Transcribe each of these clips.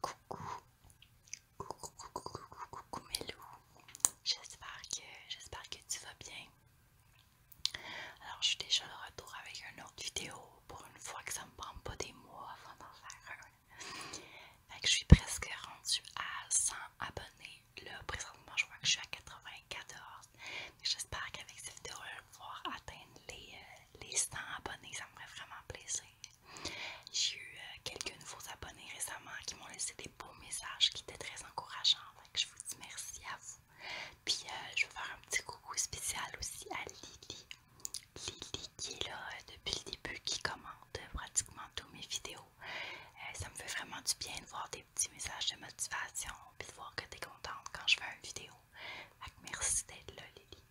Coucou, coucou, coucou, coucou, coucou mes loups. J'espère que, j'espère que tu vas bien. Alors je suis déjà de retour avec une autre vidéo pour une fois que ça me prend pas des mois avant d'en faire une. Fait que je suis presque rendue à 100 abonnés. Là présentement je vois que je suis à 94. J'espère qu'avec cette vidéo-là, je vais pouvoir atteindre les, euh, les 100 abonnés, ça me ferait vraiment plaisir. J'ai eu euh, quelques nouveaux abonnés récemment qui m'ont laissé des beaux messages qui étaient très encourageants. je vous dis merci à vous. Puis euh, je vais faire un petit coucou spécial aussi à Lily. Lily qui est là euh, depuis le début, qui commente pratiquement toutes mes vidéos. ça me fait vraiment du bien de voir des petits messages de motivation puis de voir que tu es contente quand je fais une vidéo. merci d'être là Lily.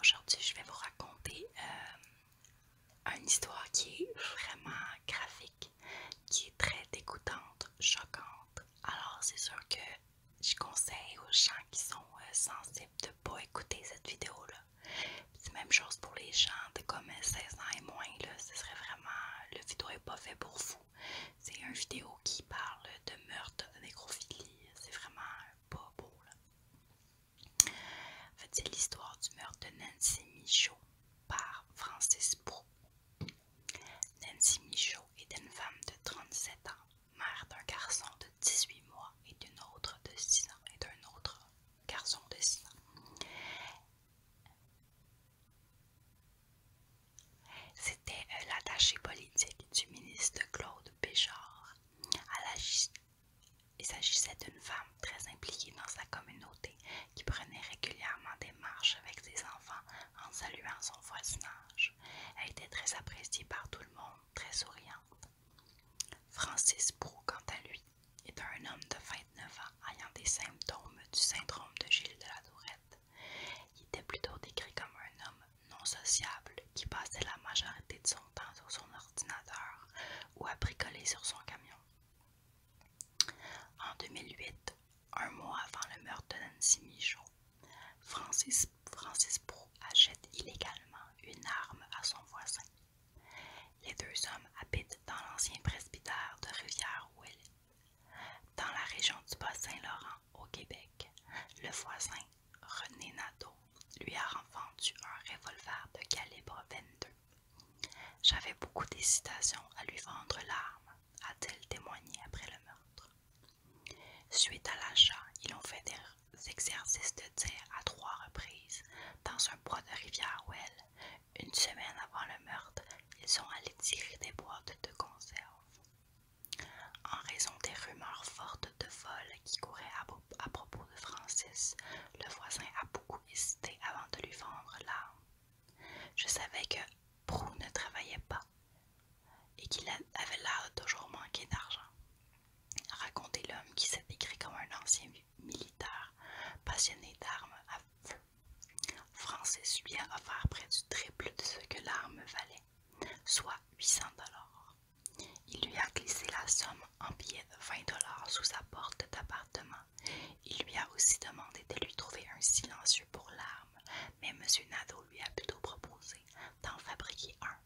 Aujourd'hui, je vais vous raconter euh, une histoire qui est vraiment graphique, qui est très dégoûtante, choquante. Alors, c'est sûr que je conseille aux gens qui sont euh, sensibles de ne pas écouter cette vidéo-là. C'est même chose pour les gens de comme 16 euh, ans et moins, ce serait vraiment, le vidéo n'est pas fait pour vous. C'est une vidéo qui parle de meurtre, de nécrophilie. C'est vraiment pas beau. Là. En fait, c'est l'histoire du meurtre de Nancy Michaud par Francis Pro. Nancy Michaud est une femme de 37 ans, mère d'un garçon de 18 mois et d'une autre de 6 ans et d'un autre garçon de 6 ans. C'était euh, l'attaché politique du ministre Claude Béchard. Il s'agissait d'une femme très impliquée dans sa communauté qui prenait régulièrement des marches avec ses enfants en saluant son voisinage. Elle était très appréciée par tout le monde, très souriante. Francis Prou, quant à lui, est un homme de 29 ans ayant des symptômes du syndrome de Gilles de la Tourette. Il était plutôt décrit comme un homme non sociable qui passait la majorité de son temps sur son ordinateur ou à bricoler sur son camion. En 2008, un mois avant le meurtre de Nancy Michaud, Francis, Francis Pro achète illégalement une arme à son voisin. Les deux hommes habitent dans l'ancien presbytère de Rivière-Ouellet, dans la région du Bas-Saint-Laurent au Québec, le voisin René Nadeau lui a vendu un revolver de calibre 22. J'avais beaucoup d'hésitation à lui vendre l'arme, a-t-elle témoigné après le meurtre. Suite à l'achat, ils ont fait des exercices de tir à trois reprises dans un bois de rivière où, Une semaine avant le meurtre, ils sont allés tirer des boîtes de conserve. En raison des rumeurs fortes de vol qui couraient à, propos de Francis, le voisin a beaucoup hésité avant de lui vendre l'arme. Je savais que Prou ne travaillait pas et qu'il avait l'air toujours manquer d'argent. racontait l'homme qui s'est décrit comme un ancien militaire passionné d'armes à feu. Francis lui a offert près du triple de ce que l'arme valait soit 800 dollars. Il lui a glissé la somme en billets de 20 dollars sous sa porte d'appartement. Il lui a aussi demandé de lui trouver un silencieux pour l'arme, mais M. Nadeau lui a plutôt proposé d'en fabriquer un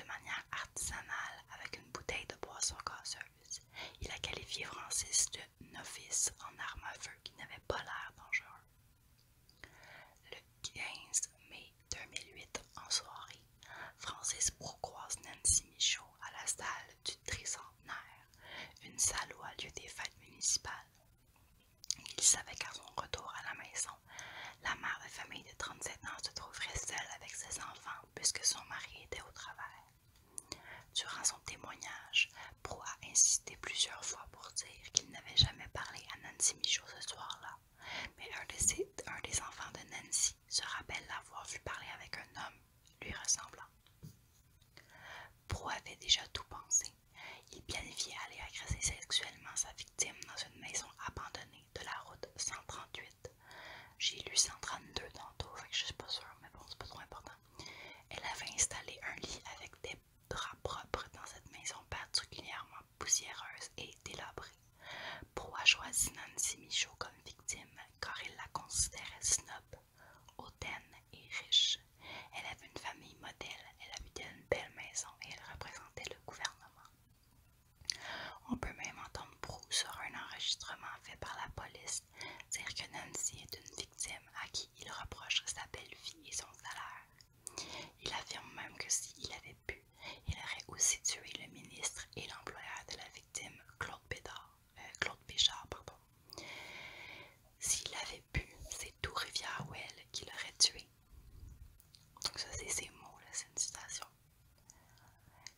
de manière artisanale avec une bouteille de boisson gazeuse. Il a qualifié Francis de novice en arme à feu qui n'avait pas l'air dangereux. Le 15 mai 2008, en soirée, Francis Pro croise Nancy Michaud à la salle du Tricentenaire, une salle où a lieu des fêtes municipales. Il savait qu'à son retour à la maison, la mère de famille de 37 ans se trouverait seule avec ses enfants puisque son mari était au travail. Durant son témoignage, Pro a plusieurs fois pour dire qu'il n'avait jamais parlé à Nancy Michaud ce soir-là mais un, des enfants de Nancy se rappelle l'avoir vu parler avec un homme lui ressemblant. Pro avait déjà tout pensé. Il planifiait aller agresser sexuellement sa victime dans une maison abandonnée de la route 138. J'ai lu 132 tantôt, tout, je suis pas sûre, mais bon, c'est pas trop important. Elle avait installé un lit avec des drap propre dans cette maison particulièrement poussiéreuse et délabrée. a choisi Nancy Michaud comme victime car il la considérait snob, hautaine et riche. Elle avait une famille modèle, elle habitait une belle maison et elle représentait le gouvernement. On peut même entendre Prou sur un enregistrement fait par la police dire que Nancy est une victime à qui il reproche sa belle vie et son salaire. Il affirme même que s'il avait pu, il aurait aussi tué le ministre et l'employeur de la victime, Claude Bédard, euh, Claude S'il avait pu, c'est tout rivière Well qui l'aurait tué. Donc ça c'est ses mots, c'est une citation.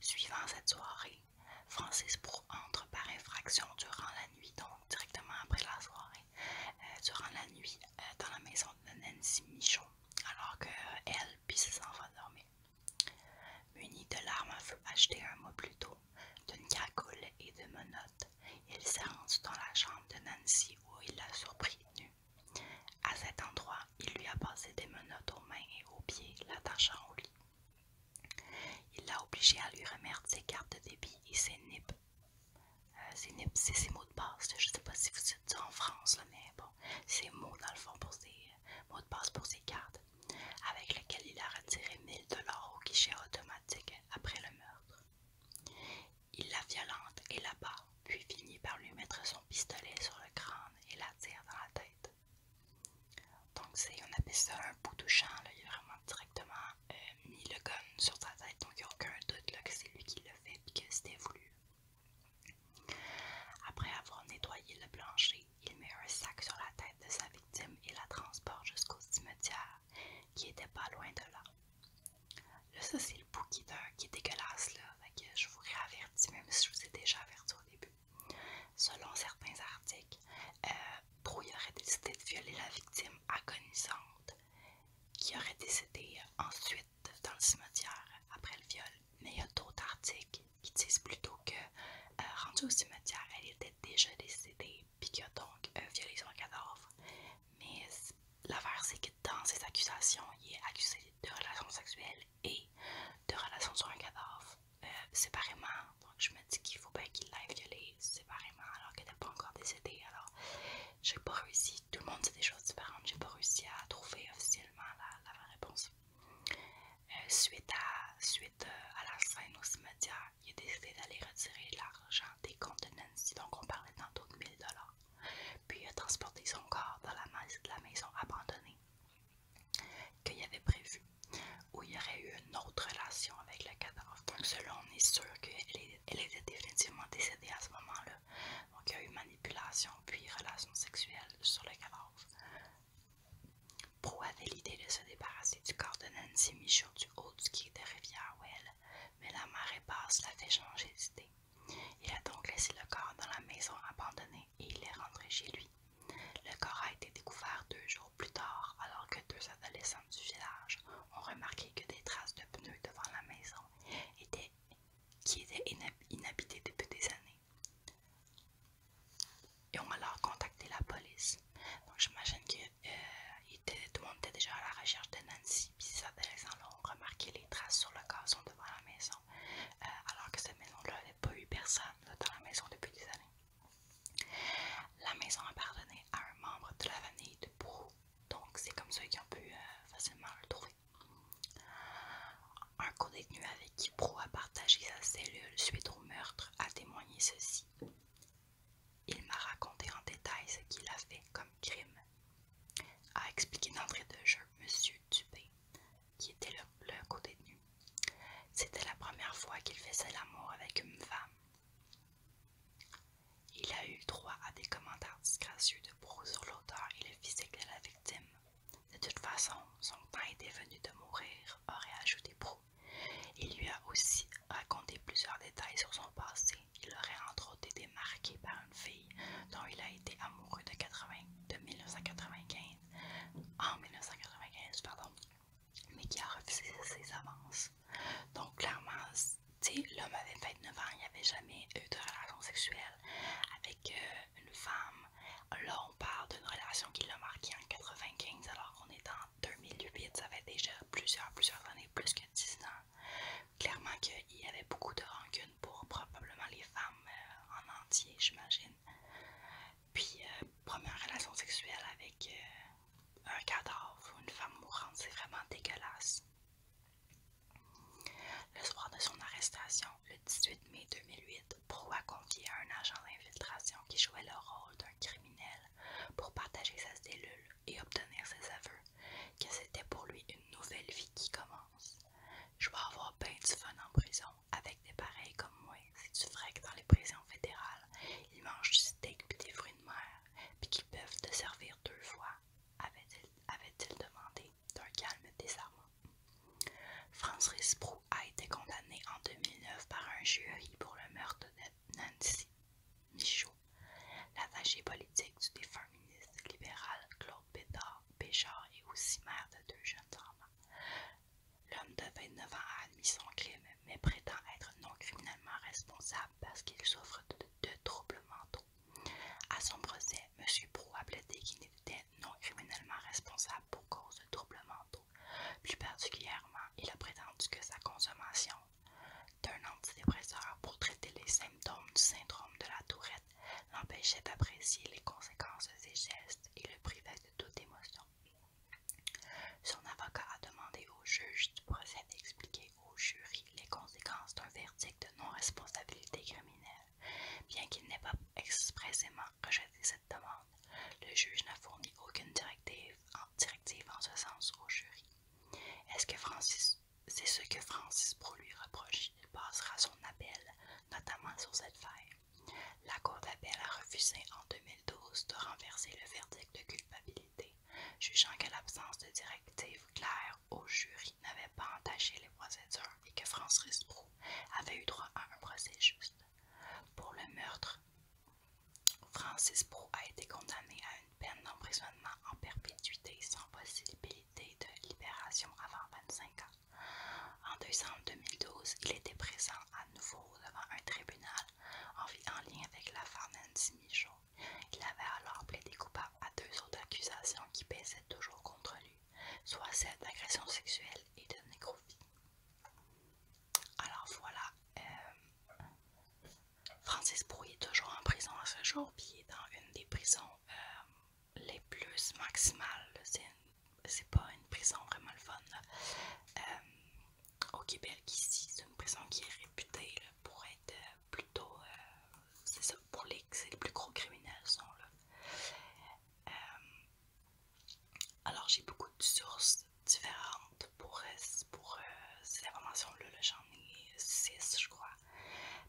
Suivant cette soirée, Francis Pro entre par infraction durant la nuit, donc directement après la soirée, euh, durant la nuit euh, dans la maison de Nancy Michaud alors que euh, elle puis ses enfants dormaient. Muni de l'arme à feu achetée un mois plus tôt, d'une cagoule et de menottes, il s'est rendu dans la chambre de Nancy où il l'a surpris nue. À cet endroit, il lui a passé des menottes aux mains et aux pieds, l'attachant au lit. Il l'a obligé à lui remettre ses cartes de débit et ses nippes euh, c'est ses mots de passe. Je ne sais pas si vous êtes en France, mais bon, c'est mots dans le fond pour ses euh, mots de passe pour ses cartes, avec lesquels il a retiré 1000 dollars au guichet automatique après le meurtre. Il la violente et la bat, puis finit par lui mettre son pistolet sur le crâne et la tire dans la tête. Donc on appelle ça un bout touchant, il a vraiment directement euh, mis le gun sur sa tête, donc il n'y a aucun doute que c'est lui qui l'a fait et que c'était voulu. Après avoir nettoyé le plancher, il met un sac sur la tête de sa victime et la transporte jusqu'au cimetière, qui était pas loin de là. Là, ça, c'est le bout qui, qui est dégueulasse, là. je vous réavertis, même si je vous ai déjà averti au début. Selon certains articles, euh, aurait décidé de violer la victime agonisante, qui aurait décidé ensuite dans le cimetière après le viol. Mais il y a d'autres articles qui disent plutôt que euh, rendue au cimetière, elle était déjà décédée puis qu'il a donc euh, violé son cadavre. Mais l'affaire, c'est que dans ces accusations, il est accusé de relations sexuelles et de relations sur un cadavre euh, séparément. Donc je me dis qu'il faut bien qu'il l'ait violée séparément alors qu'elle n'est pas encore décédée. Alors j'ai pas réussi, tout le monde sait des choses différentes, j'ai pas réussi à trouver officiellement la, réponse. Euh, suite euh, à, la scène au cimetière, il a décidé d'aller retirer l'argent des comptes de Nancy, donc on parlait tantôt de dollars Puis il a transporté son corps dans la, maison abandonnée qu'il avait prévu, où il y aurait eu une autre relation avec le cadavre. Donc, selon on est sûr qu'elle était définitivement décédée à ce moment-là. Donc il y a eu manipulation puis relation sexuelle sur le cadavre. Pro avait l'idée de se débarrasser du corps de Nancy Michaud du haut du quai de rivière Well, mais la marée basse l'avait changé d'idée. Il a donc laissé le corps dans la maison abandonnée et il est rentré chez lui. Le corps a été découvert deux jours plus tard alors que deux adolescents du village ont remarqué que des traces de pneus devant la maison étaient qui était inhabité depuis des années. Et on alors contacté la police. Donc j'imagine que euh, tout le monde était déjà à la recherche de Nancy. Puis ces adolescents là ont remarqué les traces sur le gazon devant la maison. Euh, alors que cette maison-là n'avait pas eu personne dans la maison depuis des années. La maison appartenait à un membre de la famille de Brou. Donc c'est comme ça qu'ils ont pu euh, facilement le trouver. Un co avec qui Pro a partagé sa cellule suite au meurtre a témoigné ceci. Il m'a raconté en détail ce qu'il a fait comme crime, a expliqué d'entrée de jeu Monsieur Dubé, qui était le, le co C'était la première fois qu'il faisait l'amour avec une femme. Il a eu droit à des commentaires disgracieux de Proulx sur l'auteur et le physique de la victime. De toute façon, son temps était venu de mourir, aurait ajouté Proulx. Il lui a aussi raconté plusieurs détails sur son passé. Il aurait entre autres été marqué par une fille dont il a été amoureux de, de 1995, en 1995, pardon, mais qui a refusé ses avances. Donc clairement, tu sais, l'homme avait 29 ans, il n'y avait jamais eu de relation sexuelle avec euh, une femme. Là, on parle d'une relation qui l'a marqué en 95, alors qu'on est en 2008, ça fait déjà plusieurs, plusieurs années, plus que 10 ans. Clairement qu'il y avait beaucoup de rancune pour probablement les femmes euh, en entier, j'imagine. Puis, euh, première relation sexuelle avec un cadavre ou une femme mourante, c'est vraiment dégueulasse. Le soir de son arrestation, le 18 mai 2008, Pro a confié à un agent d'infiltration qui jouait le rôle d'un criminel pour partager sa cellule et obtenir ses aveux, que c'était pour lui une nouvelle vie qui commence. Je vais avoir peint du fun en prison avec des pareils comme moi. Si tu ferais que dans les prisons fédérales, ils mangent du steak et des fruits de mer, puis qu'ils peuvent te servir deux fois avait-il demandé d'un calme désarmant. Francis Prou a été condamné en 2009 par un jury pour le meurtre de Nancy Michaud, l'attaché politique du défunt ministre libéral Claude Bédard, Béchard et aussi mère de deux jeunes enfants. L'homme de 29 ans a admis son crime, mais prétend être non criminellement responsable parce qu'il souffre de, de troubles mentaux à son procès, M. probableté a plaidé qu'il était non criminellement responsable pour cause de troubles mentaux. Plus particulièrement, il a prétendu que sa consommation d'un antidépresseur pour traiter les symptômes du syndrome de la tourette l'empêchait d'apprécier les conséquences de ses gestes et le privait de toute émotion. Son avocat a demandé au juge du procès d'expliquer au jury les conséquences d'un verdict de non-responsabilité criminelle. Bien qu'il n'ait pas expressément rejeté cette demande, le juge n'a fourni aucune directive en, ce sens au jury. est que Francis c'est ce que Francis Pro lui reproche. Il passera son appel, notamment sur cette faille. La Cour d'appel a refusé en 2012 de renverser le verdict de culpabilité, jugeant que l'absence de directive claire au jury n'avait pas entaché les procédures et que Francis Risproux avait eu droit à un procès juste. Pour le meurtre, Francis prou a été condamné à une peine d'emprisonnement en perpétuité sans possibilité de libération avant 25 ans. En décembre 2012, il était présent à nouveau devant un tribunal en, lien avec l'affaire Nancy Michaud il avait alors des coupables à deux autres accusations qui pèsaient toujours contre lui, soit celle d'agression sexuelle et de nécrophilie. Alors voilà, euh, Francis Brouillet est toujours en prison à ce jour, puis il est dans une des prisons euh, les plus maximales. C'est pas une prison vraiment fun. Euh, au Québec, ici, c'est une prison qui est réputée pour être plutôt, euh, c'est ça, pour les, plus gros criminels sont là. Euh, alors j'ai beaucoup de sources différentes pour, euh, pour ces informations-là, j'en ai 6 je crois.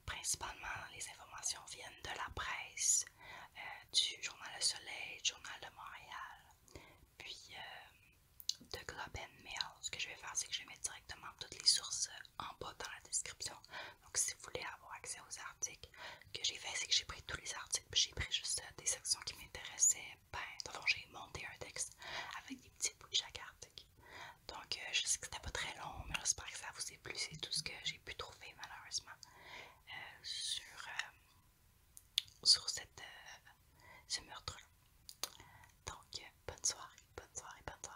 Principalement les informations viennent de la presse, du journal Le Soleil, du journal de Montréal, puis de Globe and Mail. Ce que je vais faire c'est que je vais mettre directement toutes les sources en bas dans la description. Donc, si vous voulez avoir accès aux articles, que j'ai fait, c'est que j'ai pris tous les articles, puis j'ai pris juste euh, des sections qui m'intéressaient. Ben, j'ai monté un texte avec des petits bouts de chaque article. Donc, euh, je sais que c'était pas très long, mais j'espère que ça vous a plu. C'est tout ce que j'ai pu trouver, malheureusement, euh, sur, sur cette, ce meurtre-là. Donc, bonne soirée, bonne soirée, bonne soirée.